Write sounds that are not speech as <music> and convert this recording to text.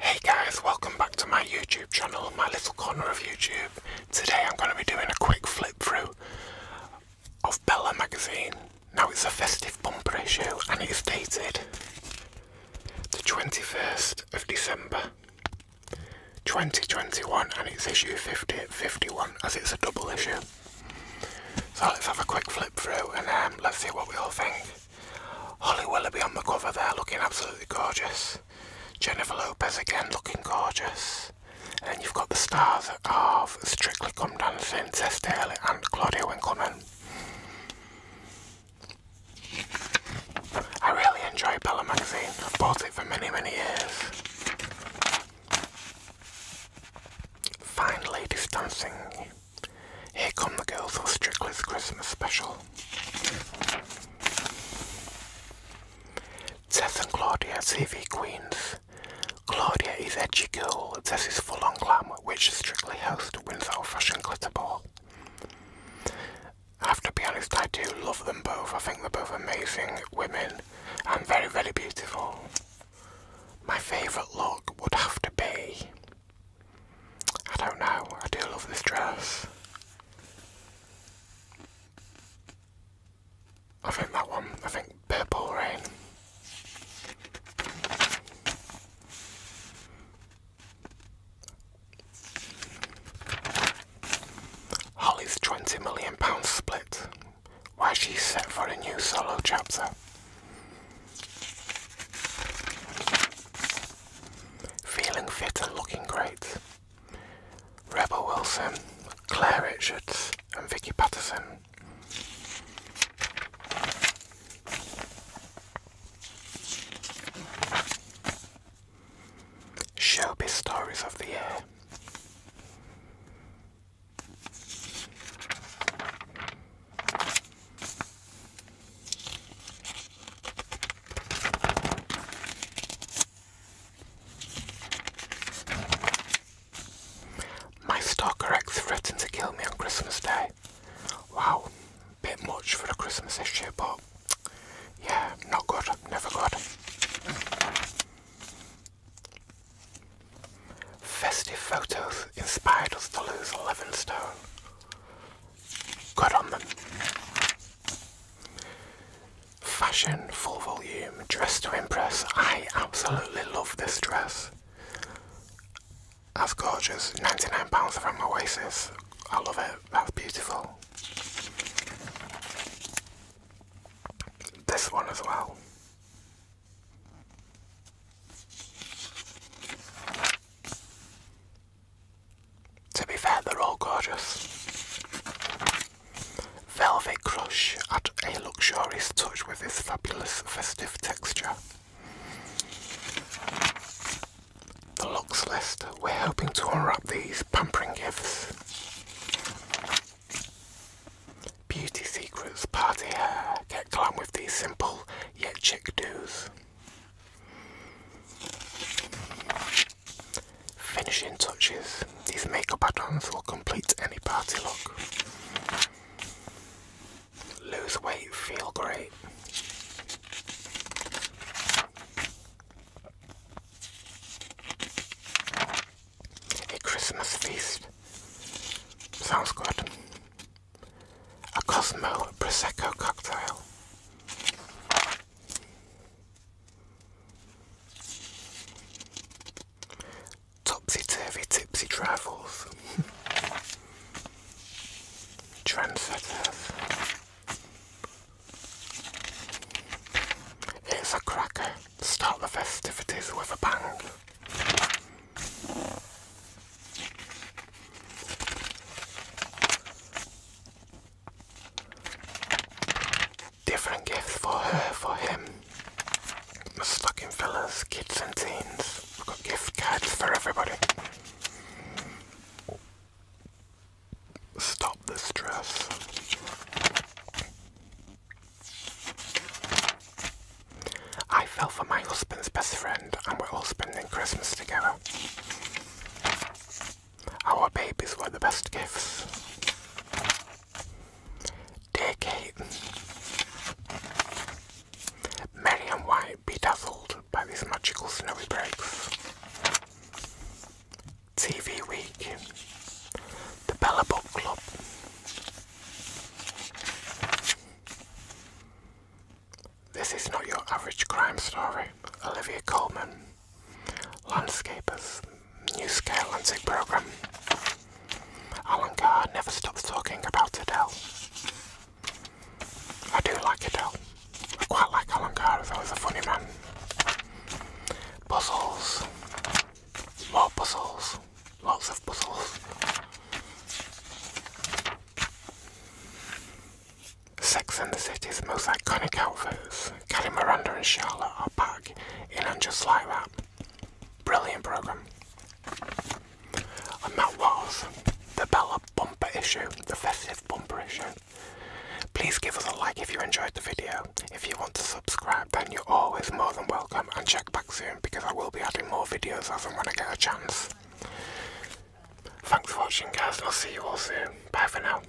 Hey guys, welcome back to my YouTube channel, my little corner of YouTube. Today I'm going to be doing a quick flip through of Bella magazine. Now it's a festive bumper issue and it's dated the 21st of December 2021 and it's issue 50 51 as it's a double issue. So let's have a quick flip through and um, let's see what we all think. Holly Willoughby on the cover there looking absolutely gorgeous. Jennifer Lopez again looking gorgeous. And you've got the stars of Strictly Come Dancing, Tess Daly and Claudia Winkleman. I really enjoy Bella magazine. I've bought it for many, many years. Fine ladies Here come the girls for Strictly's Christmas special. Tess and Claudia, TV Queens. Claudia is edgy girl, Tess is full on glam, which strictly host wins our fashion glitter ball. I have to be honest, I do love them both. I think they're both amazing women and very, very beautiful. My favourite look would have to be. I don't know, I do love this dress. I think that one, I think Purple Rain. Holly's £20 million split, why she's set for a new solo chapter. Feeling fit and looking great. Rebel Wilson, Claire Richards, and Vicky Patterson. Showbiz Stories of the Year. My stalker X threatened to kill me on Christmas Day. Wow. Bit much for a Christmas issue, but yeah, not good, never good. Festive photos inspired us to lose 11 stone. Good on them. Fashion, full volume, dress to impress. I absolutely love this dress. That's gorgeous. £99 from Oasis. I love it. That's beautiful. This one as well. To be fair, they're all gorgeous. Velvet Crush at a luxurious touch with this fabulous festive texture. The locks list, we're helping to unwrap these pampering gifts. Beauty secrets, party hair, get glam with these simple yet chic do's. Finishing touches, these makeup add-ons will complete any party look lose weight, feel great. A Christmas feast. Sounds good. A Cosmo Prosecco cocktail. Topsy-turvy tipsy travels. <laughs> Trendsetters. Here's a cracker. Start the festivities with a bang. Different gifts for her, for him stocking fellas kids and teens. i have got gift cards for everybody. Stop the stress. I fell for my husband's best friend and we're all spending Christmas together. Our babies were the best gifts. Decade. Merriam White bedazzled by these magical snowy breaks. TV Week. The Bella Book Club. This is not your average crime story. Olivia Coleman. Landscapers new scale and zig program. Alan oh Carr never stops talking about Adele. I do like Adele. I quite like Alan Carr, He's always a funny man. Puzzles. More puzzles. Lots of puzzles. Sex and the City's most iconic outfits, Kelly Miranda and Charlotte, are back in and just like that. Brilliant program. And that was the Bella bumper issue, the festive bumper issue. Please give us a like if you enjoyed the video. If you want to subscribe, then you're always more than welcome and check back soon because I will be adding more videos as and when I get a chance. Thanks for watching guys and I'll see you all soon. Bye for now.